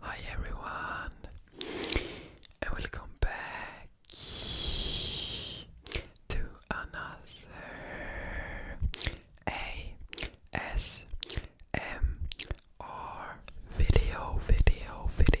Hi everyone, and welcome back to another ASMR video, video, video.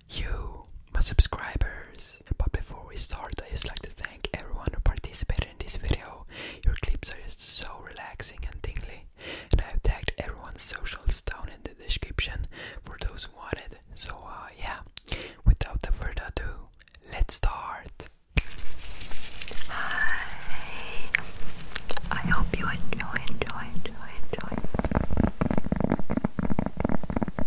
you, my subscribers. But before we start, I just like to thank everyone who participated in this video. Your clips are just so relaxing and tingly. And I have tagged everyone's socials down in the description for those who wanted. So, uh, yeah, without the further ado, let's start. Hi, I hope you enjoy, enjoy, enjoy.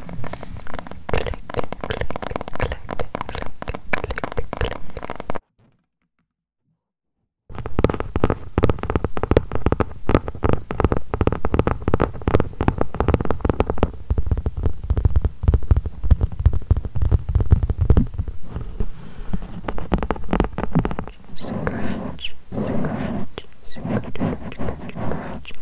click, click, click, click, click, click. Scratch, scratch, scratch, scratch, scratch,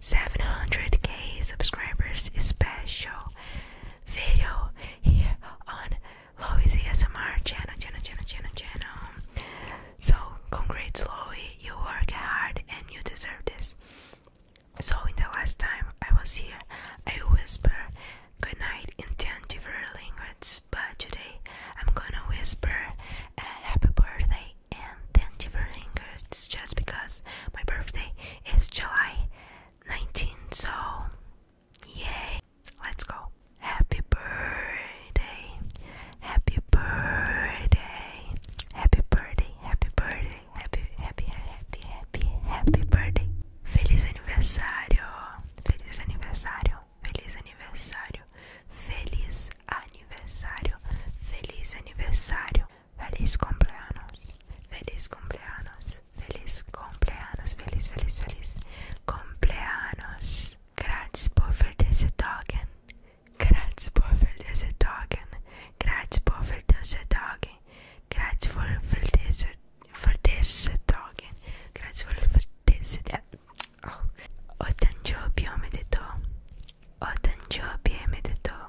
700k subscribers special video here on Lois ASMR channel, channel, channel, channel, channel. So, congrats, Lois, you work hard and you deserve this. So, in the last time I was here, I whispered goodnight in 10 different languages, but today I'm gonna whisper a happy birthday in 10 different languages just because my birthday is July 19th, so yay! Let's go. Happy birthday, happy birthday, happy birthday, happy birthday, happy, happy, happy, happy, happy birthday. Feliz aniversário, feliz aniversário, feliz aniversário, feliz aniversário, feliz aniversário. Feliz cumpleaños, feliz cumpleaños, feliz cumpleaños, feliz, feliz, feliz cumpleaños. Grátis por ver desse dagen, por ver desse dagen, por ver desse dagen, por ver desse dagen, grátis por ver desse dagen. O oh, tanjo biomedeto, o tanjo biomedeto.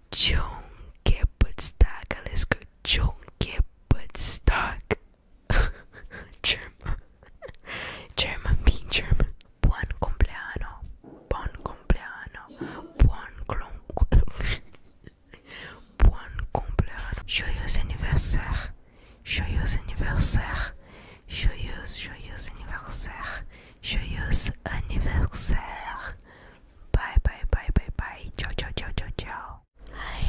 John get but stuck. Let's go, John get but stuck. German, German, being German. Buon compleanno, buon compleanno, buon clon. Buon compleanno. Joyeux anniversaire. Joyeux anniversaire. Joyeux, joyeux anniversaire. Joyeux anniversaire. Bye bye bye bye bye. Ciao ciao ciao ciao ciao. Hi.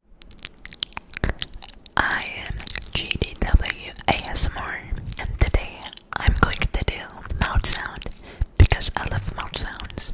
I am GDW and today I'm going to do mouth sound because I love mouth sounds.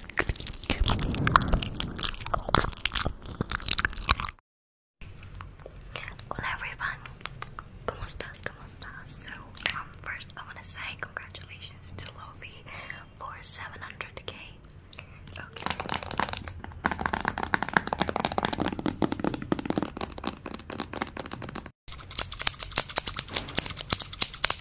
Hola everyone, ¿cómo estás? ¿Cómo estás? So, um, first I want to say congratulations to Lofi for 700k.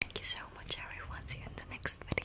Thank you so much everyone. See you in the next video.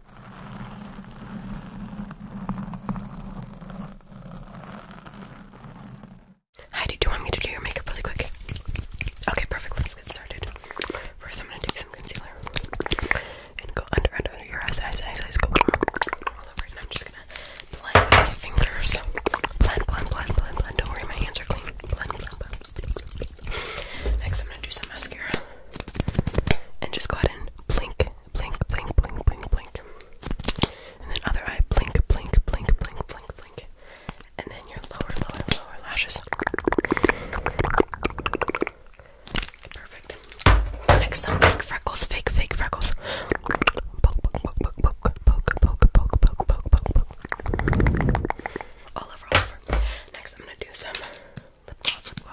Hi, do you want me to do your makeup really quick? Okay, perfect. Let's get started. First, I'm gonna take some concealer and go under, under, under your eyes, eyes, eyes, Go all over and I'm just gonna blend my fingers. Blend, blend, blend, blend, blend. Don't worry, my hands are clean. Blend, blend, blend. Next, I'm gonna do some mascara and just go ahead and blink, blink, blink, blink, blink, blink, and then other eye, blink, blink, blink, blink, blink, blink, and then your lower, lower, lower lashes. Perfect. Next, some fake freckles, fake, fake freckles. Poke, poke, poke, poke, poke, poke, poke, poke, poke, poke, poke, poke. All over, all over. Next, I'm gonna do some just go.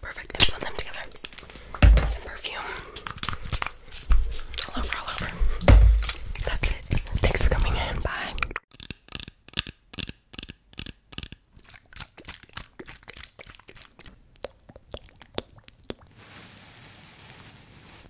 Perfect. And them together. some perfume all over, all over. That's it. Thanks for coming in. Bye.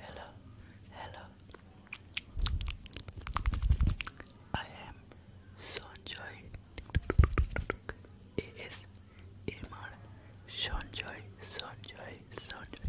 Hello, hello. I am Sonjoy. It is Imar Sonjoy, Sonjoy, Sonjoy.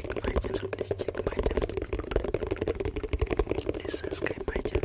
check my channel, please check my channel. Please subscribe my channel. Sleep, sleep, sleep, relax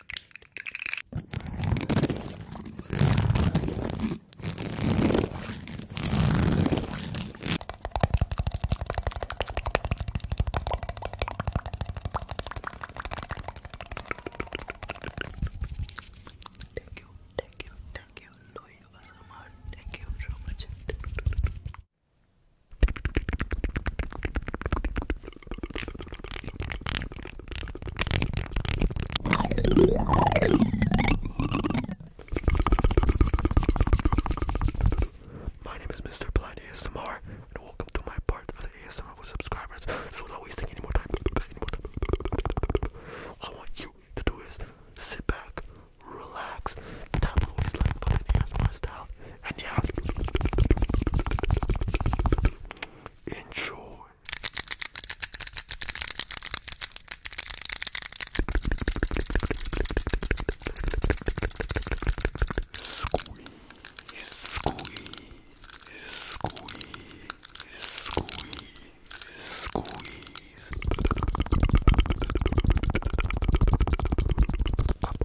Thank you, thank you, thank you, Louis Thank you so much. My name is Mr. Blind ASMR, and welcome to my part of the ASMR with subscribers. So don't waste any more time. All I want you to do is sit back, relax, tap the little like button, ASMR style, and yeah, enjoy. Squeeze, squeeze, squeeze, squeeze, squeeze.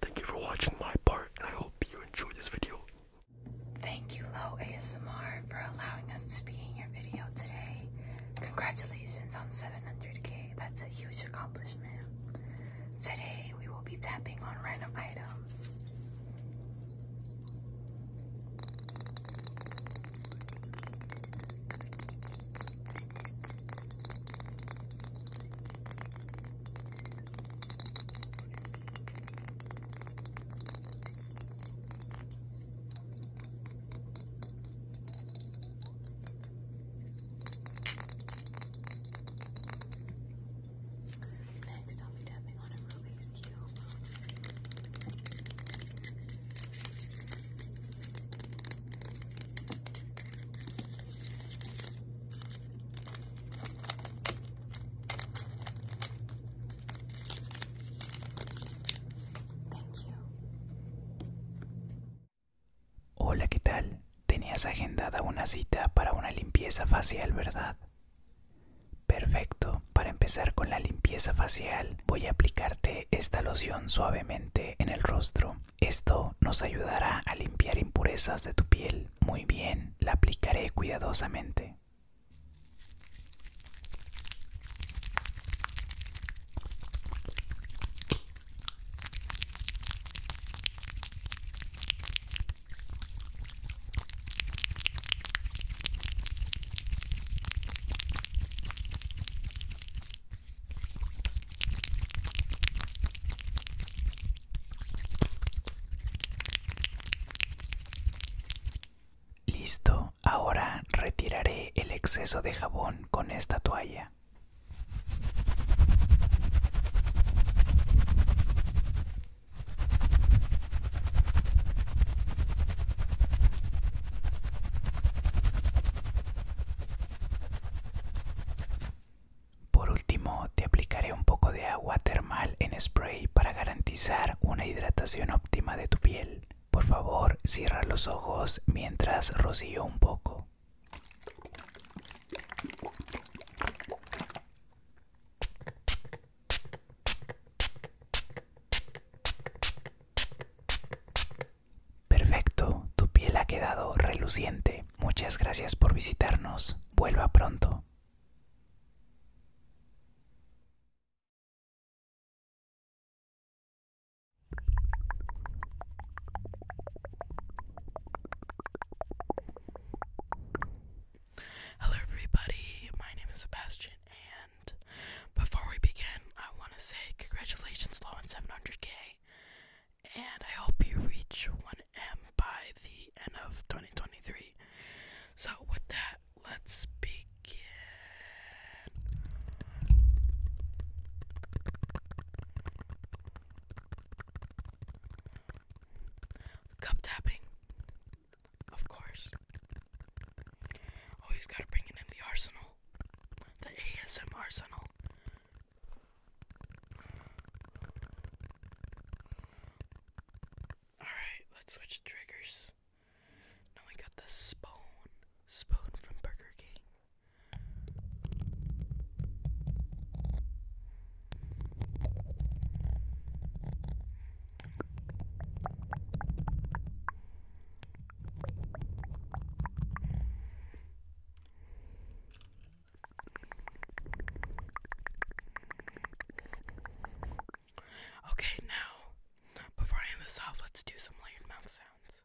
Thank you for watching my part, and I hope you enjoyed this video. Thank you, Low ASMR, for allowing us to be in your video today. Congratulations on 700k, that's a huge accomplishment. Today we will be tapping on random items. Next, I'll be tapping on a Rubik's Cube. Thank you. Hola, ¿qué tal? Tenías agendada una cita para una limpieza facial, ¿verdad? Perfecto, para empezar con la limpieza facial voy a aplicarte esta loción suavemente en el rostro. Esto nos ayudará a limpiar impurezas de tu piel. Muy bien, la aplicaré cuidadosamente. Listo, ahora retiraré el exceso de jabón con esta toalla. Por último, te aplicaré un poco de agua termal en spray para garantizar una hidratación óptima de tu piel. Por favor, cierra los ojos mientras rocío un poco. Perfecto, tu piel ha quedado reluciente. Muchas gracias por visitarnos. Vuelva pronto. Hello, everybody. My name is Sebastian, and before we begin, I want to say congratulations, Law on 700k, and I hope you reach 1M by the end of 2023. So, with that, let's begin. Cup tapping, of course. Always gotta bring it in the arsenal, the ASM arsenal. Alright, let's switch triggers. Now we got the spoon. Spoon from Burger King. Okay, now, before I end this off, let's do some layered mouth sounds.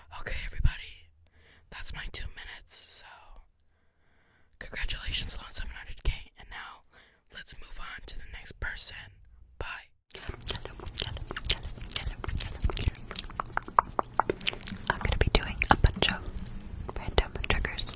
Okay, everybody, that's my two minutes. So, congratulations on 700k, and now let's move on to the next person. Bye. I'm gonna be doing a bunch of random triggers.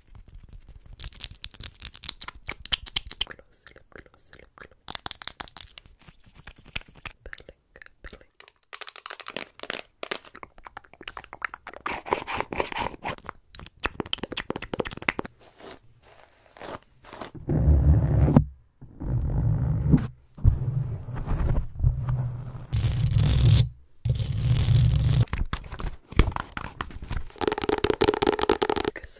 Close, look, close, look, close. Belling, belling. Focus,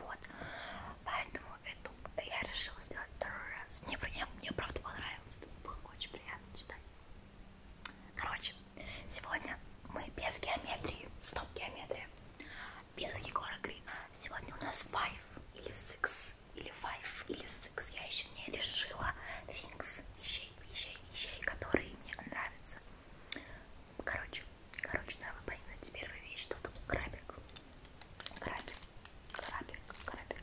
Вот. Поэтому эту я решила сделать второй раз. Мне, мне, мне правда понравилось. Это было очень приятно читать. Короче, сегодня мы без геометрии. Стоп геометрия. Без Егора Грина. Сегодня у нас five или six или five или six. Я еще не решила things, вещей, вещей, вещей, которые мне нравятся. Короче, короче, да, вы поймете первая вещь, что тут крабик крабик, крабик, крабик,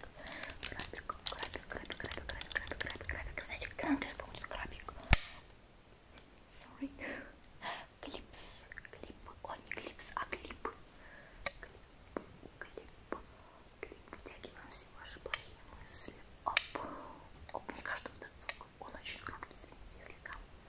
крабик, крабик, крабик, крабик, крабик, крабик, крабик, крабик. Знаете, как английском будет крабик? Sorry. Клипс, клип, о не клипс, а клип. Клип, клип, клип. Втягиваем все ваши плохие мысли. Оп. Оп, мне кажется, вот этот звук, он очень громкий, извините, если там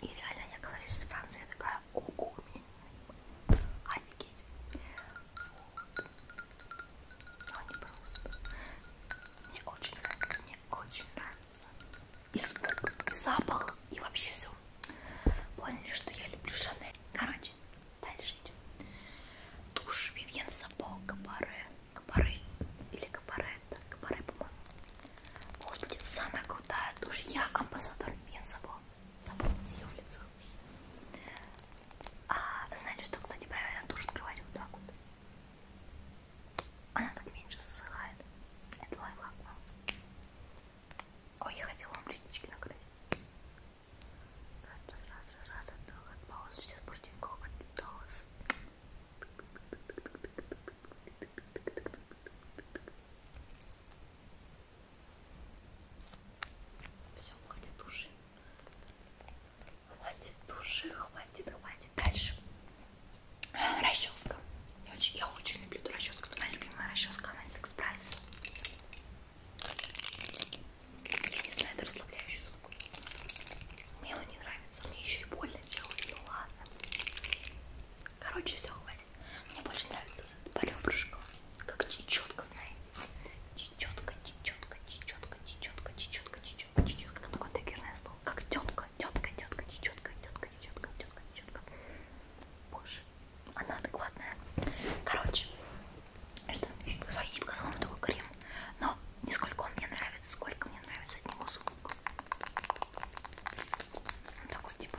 И реально я оказалась из Франции, я такая, ого, офигеть. Вот. Но ну, не просто. Мне очень нравится, мне очень нравится. И звук, и запах, и вообще все. Поняли, что я люблю Шанель. Короче, дальше идем. Тушь Вивьен Сапо Кабаре. Кабаре или Кабаретта. Кабаре, по-моему. Господи, самая крутая тушь. Я амбассадор Вивьен Сапо запомните ее в лицо. А, знаете, что, кстати, правильно душ открывать вот так вот? Она так меньше засыхает. Это лайфхак вам. Ой, я хотела вам листички накрасить. Раз, раз, раз, раз, раз, от паузы, сейчас против кого голос. Все, хватит души. Хватит души, хватит, хватит. Дальше. Расческа. Я очень, я очень люблю эту расческу. Это моя любимая расческа, она из Экспрайс. Я не знаю, это расслабляющий звук. Мне он не нравится. Мне еще и больно делает. Ну ладно. Короче, все, хватит. Мне больше нравится этот полебрышко. Как чечетка, знаете. Чечетка, чечетка, чечетка, чечетка, чечетка, чечетка, чечетка. Это ну, такое декерное слово. Как тетка, тетка, тетка, чечетка, тетка, чечетка, тетка, чечетка. Боже, она адекватная. Короче, что еще показала? Я не показала вам такой крем. Но не сколько он мне нравится, сколько мне нравится от него звук. Он такой, типа,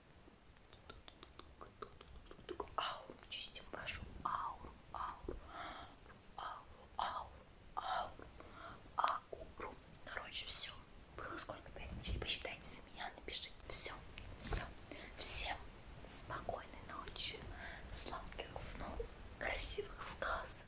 Ауру, чистим вашу ауру, ауру, ауру, ауру, ауру, ауру. Короче, все. Было сколько? Пять ночей. Посчитайте за меня, напишите. Все, все. Всем спокойной ночи, сладких снов, красивых сказок.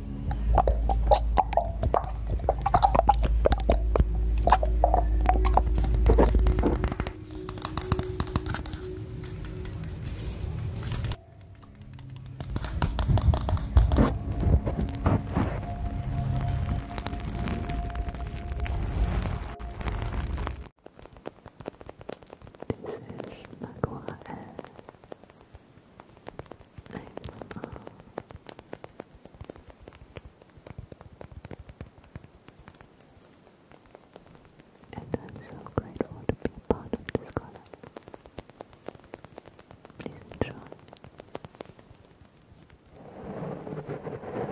This is Maguire. I'm And I'm so grateful to be part of this color. Please enjoy. Thank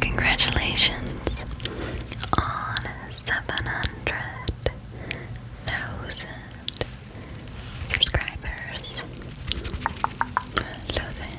Congratulations on 700,000 subscribers. Love it.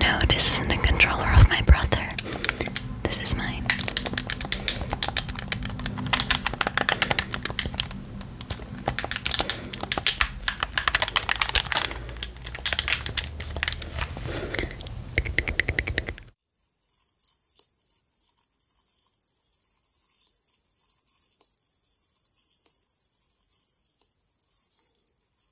No, this isn't a controller of my brother. This is mine.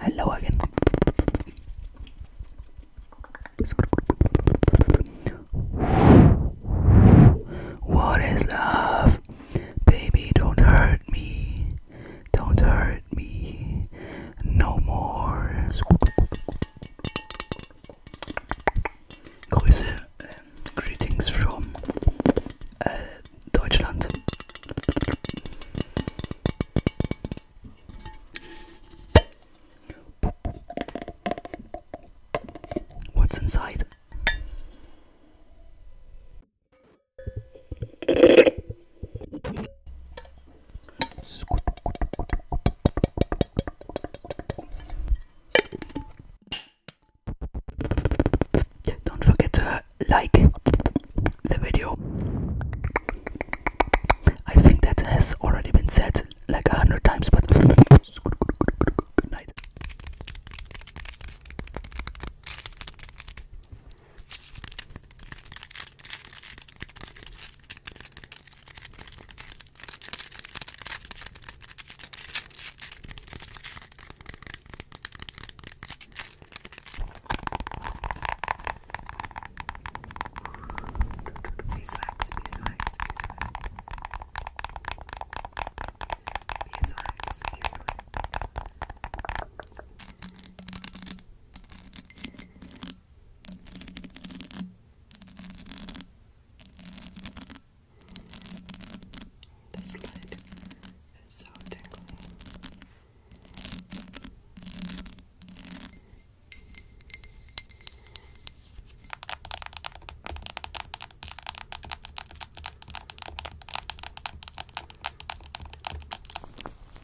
Hello again. What is love? Baby, don't hurt me. Don't hurt me no more. Grüße, greetings from äh, Deutschland. What's inside? Don't forget to like the video. I think that has already been said like a hundred times, but good night. Beeswax, beeswax, beeswax. Beeswax, beeswax. This lid is so tingly.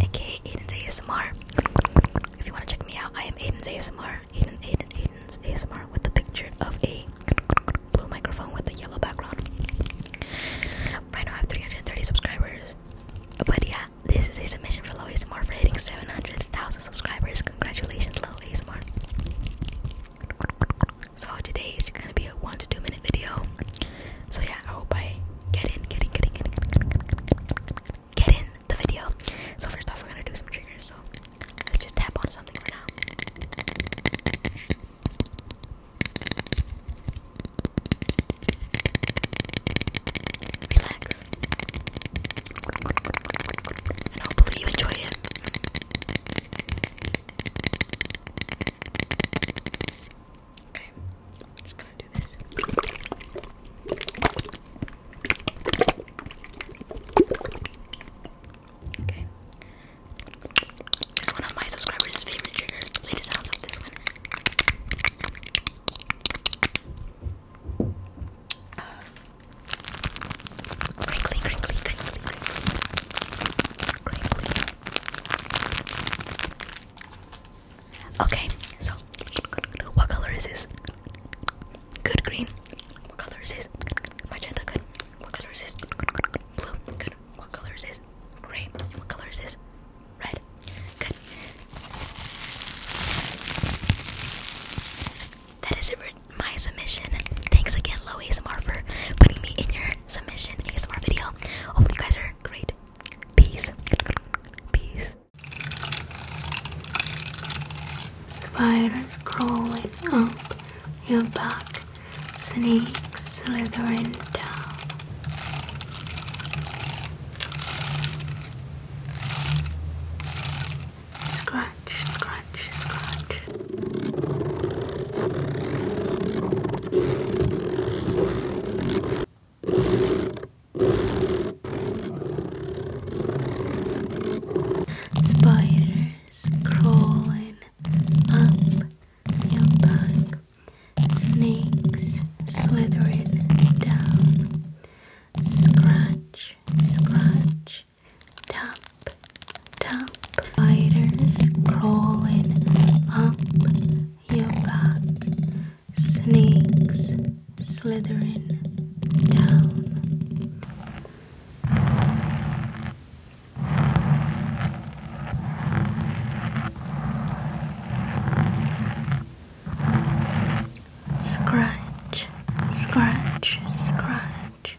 aka um, Aiden's ASMR. If you want to check me out, I am Aiden's ASMR. Aiden, Aiden, Aiden's ASMR with a picture of a blue microphone with a yellow background. Right now I have 330 subscribers. But yeah, this is a submission for Low ASMR for hitting 700,000 subscribers. Congratulations, Low ASMR. So today is going to be a 1 to 2 minute video. So yeah, I hope I get in, get in, get in, get in, get in, the video. So first off, we're gonna do some triggers. So let's just tap on something right now. Relax. And hopefully you enjoy it. Okay, just gonna do this. Okay. It's one of my subscribers' favorite triggers. Play sounds like this one. crinkly, crinkly, crinkly, crinkly. Crinkly. Okay, so what color is this? Good green. What color is this? Magenta. Good. What color is this? Blue. Good. What color is this? Gray. What color is this? Red. Good. That is it for my submission. Thanks again, Low ASMR, for putting me in your submission ASMR video. Hope you guys are great. Peace. Peace. Spiders crawling up your back, snakes slithering down. Scratch, scratch, scratch. Spiders crawling up your back. Snakes slithering down. Scratch, scratch. Tap, tap. Spiders crawling up your back snakes slithering down. Scratch, scratch, scratch.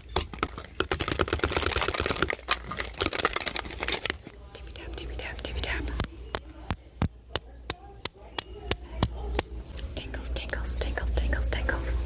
Tippy tap, tippy tap, tippy tap. Tingles, tingles, tingles, tingles, tingles.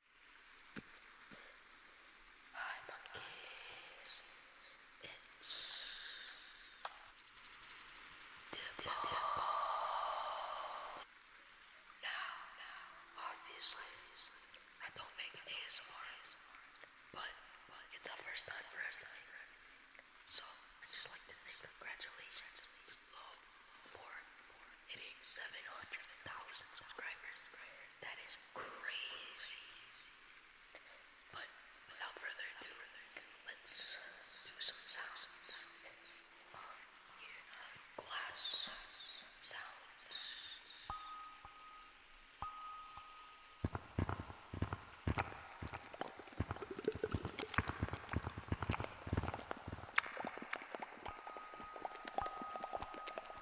Hi monkeys, it's Dimple. Now, obviously, I don't make ASMR, but it's our first time for everything. So, I just like to say congratulations, Low, for, for hitting 700,000 subscribers. That is crazy. But without further ado, let's do some Glass sounds.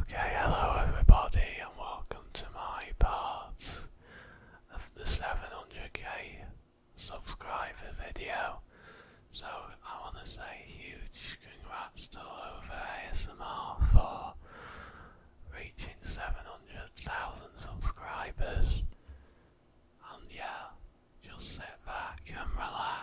Okay, hello everybody, and welcome to my part of the 700k subscriber video. So, I want to say huge congrats to Over ASMR for reaching 700,000 subscribers. And yeah, just sit back and relax.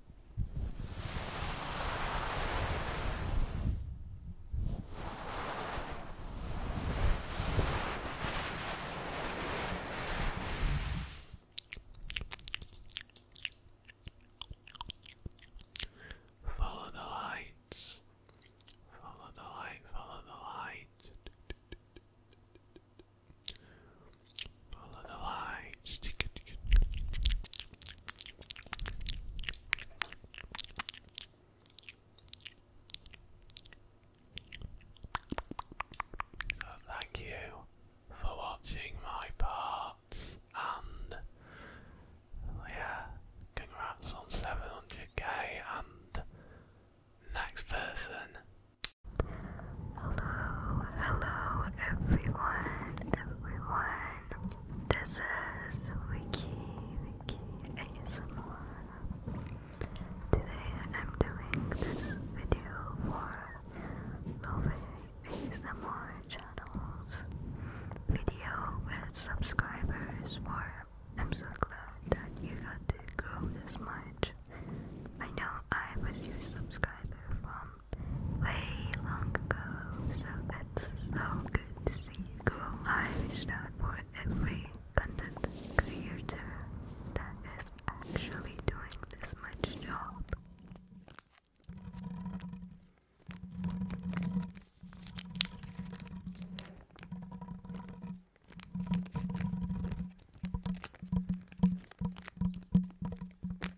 Follow the lights. Follow the light, follow the light. Follow the lights. thank you for watching my part. and yeah, congrats on 700k and next person Hello, hello everyone, everyone. This is Wiki, Wiki ASMR. Today I'm doing this video for Love ASMR channel's video with subscribers for I'm so glad that you got to grow this much. I know I was your subscriber from way long ago, so it's so good to see you go live not for every content creator that is actually doing this much job.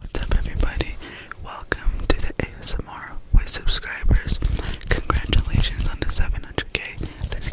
What's up, everybody? Welcome to the ASMR with subscribers. Congratulations on the 700k.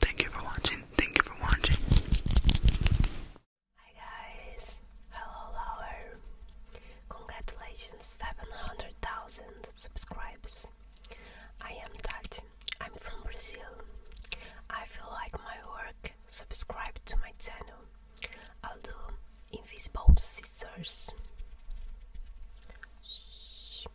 Thank you for watching. Thank you for watching. Hi guys, hello lover. Congratulations, 700,000 subscribers. I am Tati. I'm from Brazil. I feel like my work. Subscribe to my channel. I'll do invisible scissors. Shh.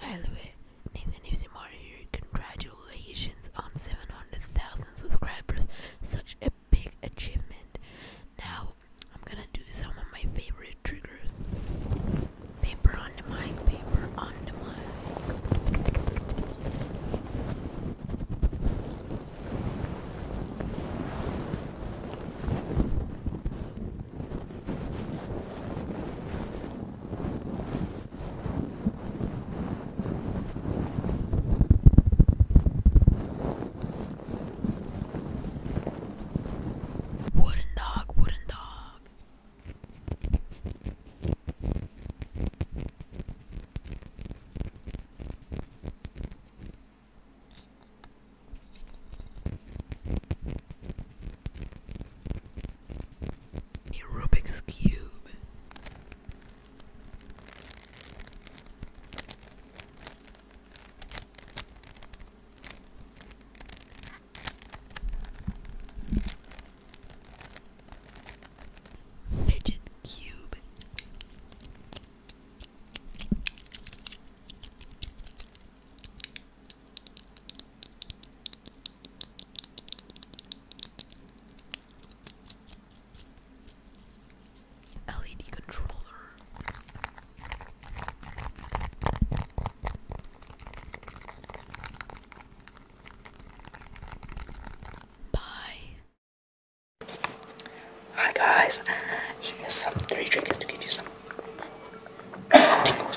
Hi Louie, Nathan Ipsimar here. Congratulations on 700,000 subscribers. Such a big achievement. Now I'm gonna do some of my favorite triggers. Paper on the mic, paper on the mic. Wooden dog, wooden dog. Rubik's Cube. Fidget Cube. LED controller. Bye. Hi guys, here's some three triggers to give you some tingles.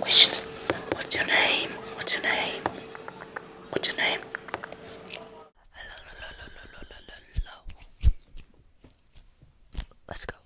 Questions. What's your name? What's your name? What's your name? Let's go.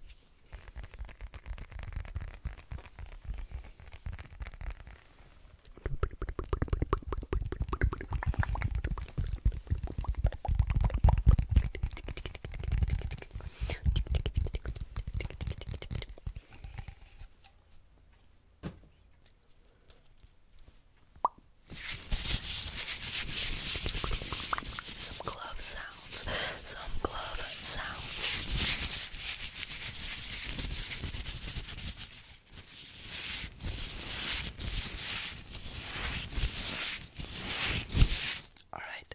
Some glove sounds, some glove sounds. All right,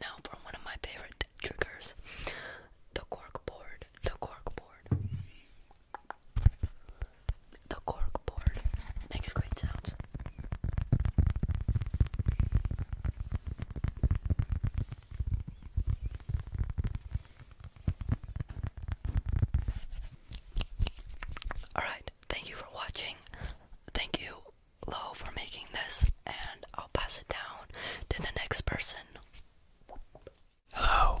Now from one of my favorite triggers, the cork board, the cork board. The cork board makes great sounds. Alright, thank you for watching. Thank you low for making this, and I'll pass it down to the next person. Hello.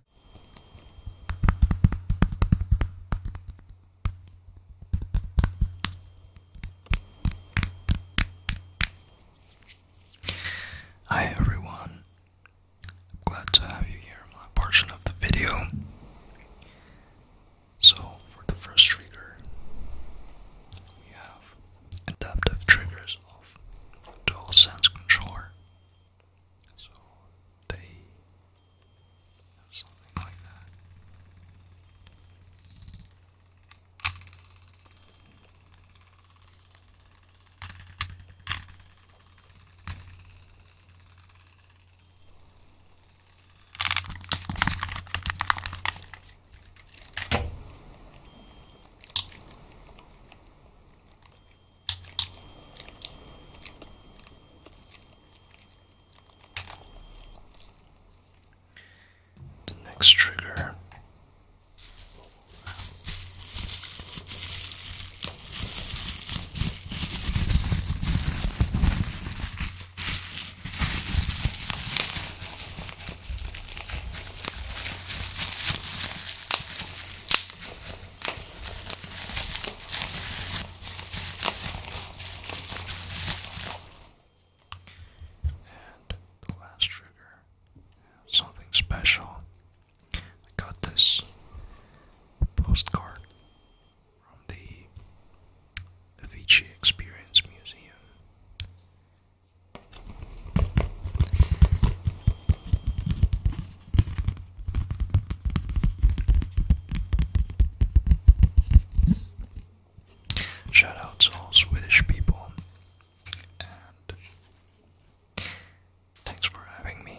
Hi everyone. glad to have you here my portion of the video. So for the first trigger we have adaptive triggers of dual sense controller so they something like that. The next trigger and the last trigger, something special. I got this postcard from the Avicii Experience Museum. Shout out to all Swedish people and thanks for having me.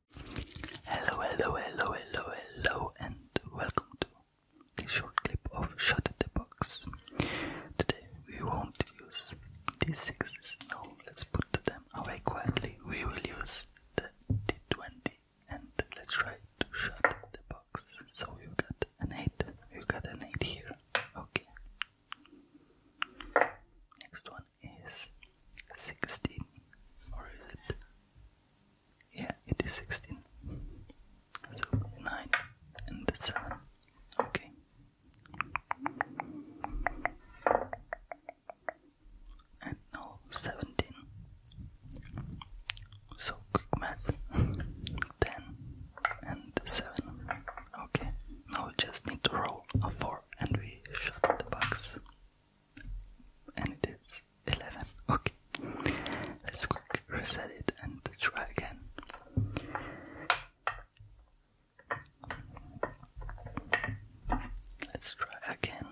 Hello, hello, hello, hello, hello, and welcome to this short clip of Shut the Box. Today we won't use these sixes. No, let's put them away quietly. We will use the D20 and let's try to shut the box. So you got an 8. You got an 8 here. Okay. Next one is 16 or is it yeah it is 16 so 9 and 7 okay and now 17 so quick math 10 and 7 okay now we just need to roll a 4 and we shut the box and it is 11. Okay, let's quick reset it and try again. Let's try again.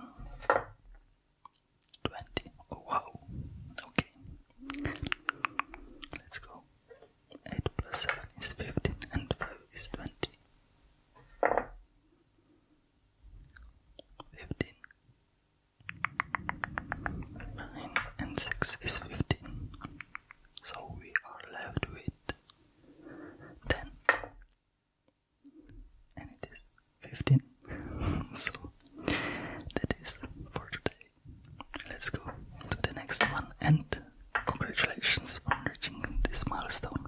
20. Oh, wow. Okay. Let's go. 8 plus 7 is 15 and 5 is 20 fifteen. Nine and six is fifteen. So we are left with ten. And it is fifteen. so that is for today. Let's go to the next one and congratulations on reaching this milestone.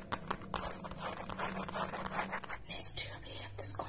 Next, we have this comb.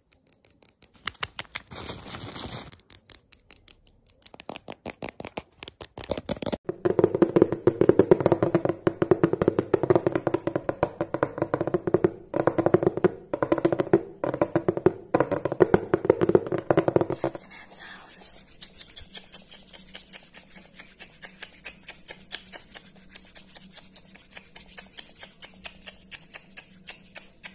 Some hand sounds.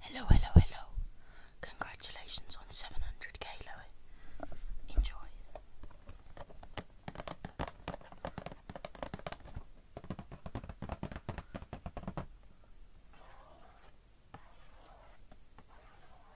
Hello, hello, hello. Congratulations on 700k, Enjoy.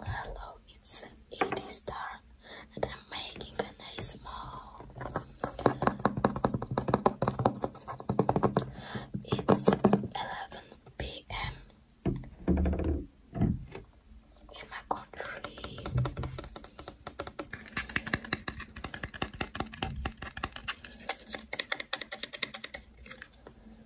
Hello, it's Edie's turn, and I'm making an ASMR. It's 11 p.m. in my country.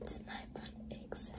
It's an iPhone Excel.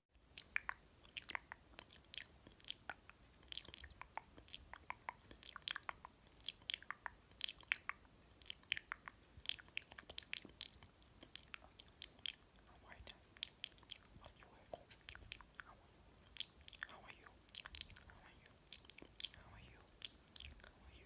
How are you? How are you? How are you? How are you? How are you?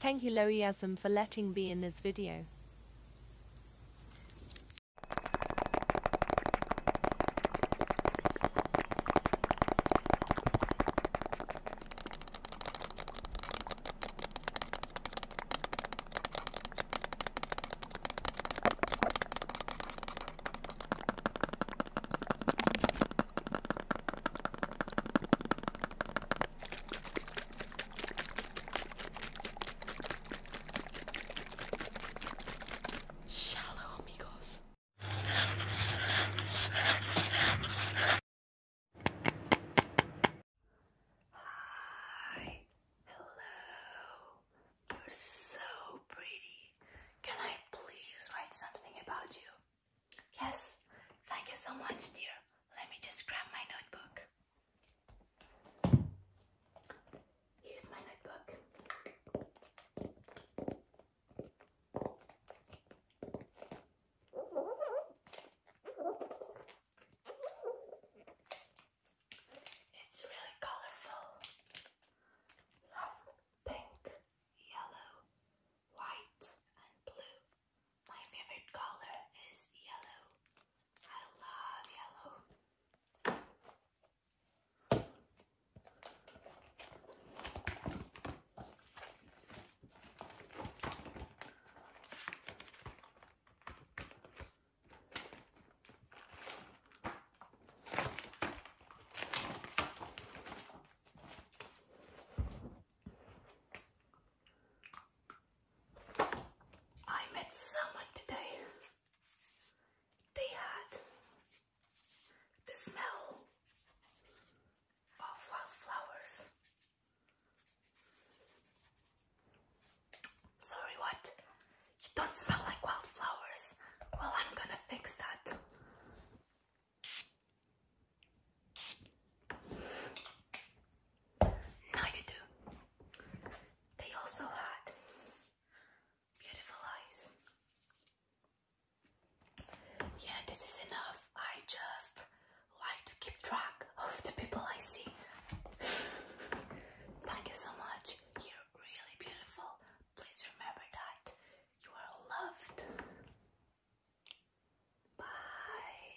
Thank you Loiasm for letting me in this video. Shallow amigos. Hi. Hello. You're so pretty. Can I please write something about you? Yes, thank you so much, dear. Let me just grab my notebook. Here's my notebook. It's really colorful. pink, yellow, white, and blue. My favorite color is yellow. I love yellow. I met someone today. They had the smell of wildflowers. Sorry, what? You don't smell like wildflowers. Well, I'm gonna fix that. Now you do. They also had beautiful eyes. Yeah, this is enough. I just like to keep track of the people I see. Thank you so much. You're really beautiful. Please remember that you are loved. Bye.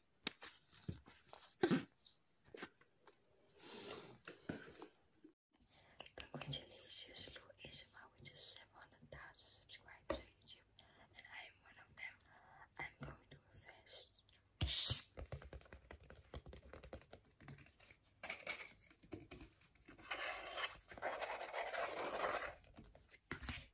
Congratulations, Lou ASMR, which 700,000 subscribers on YouTube, and I am one of them. I'm going to a fest.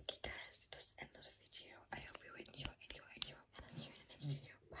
Okay guys, that's the end of the video. I hope you enjoy, enjoy, enjoy, and I'll see you in the next video. Bye!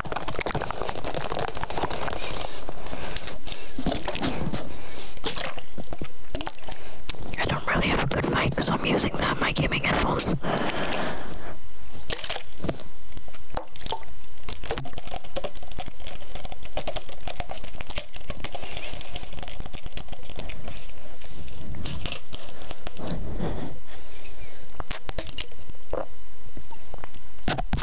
I don't really have a good mic, so I'm using the, my gaming headphones.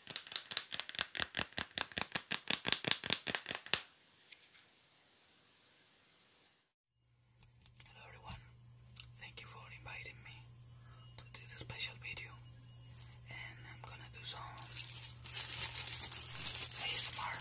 Hello everyone, thank you for inviting me to do this special video and I'm gonna do some ASMR.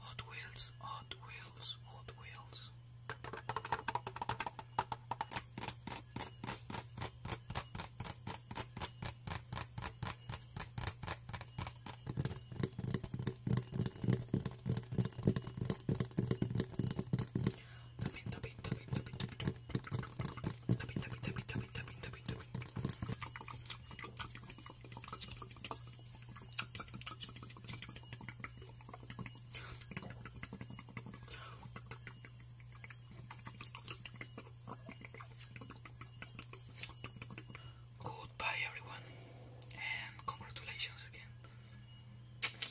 Hot Wheels, Hot Wheels, Hot Wheels. Goodbye, everyone, and congratulations again.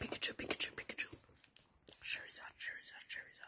Pikachu, Pikachu, Pikachu. Charizard, Charizard, Charizard.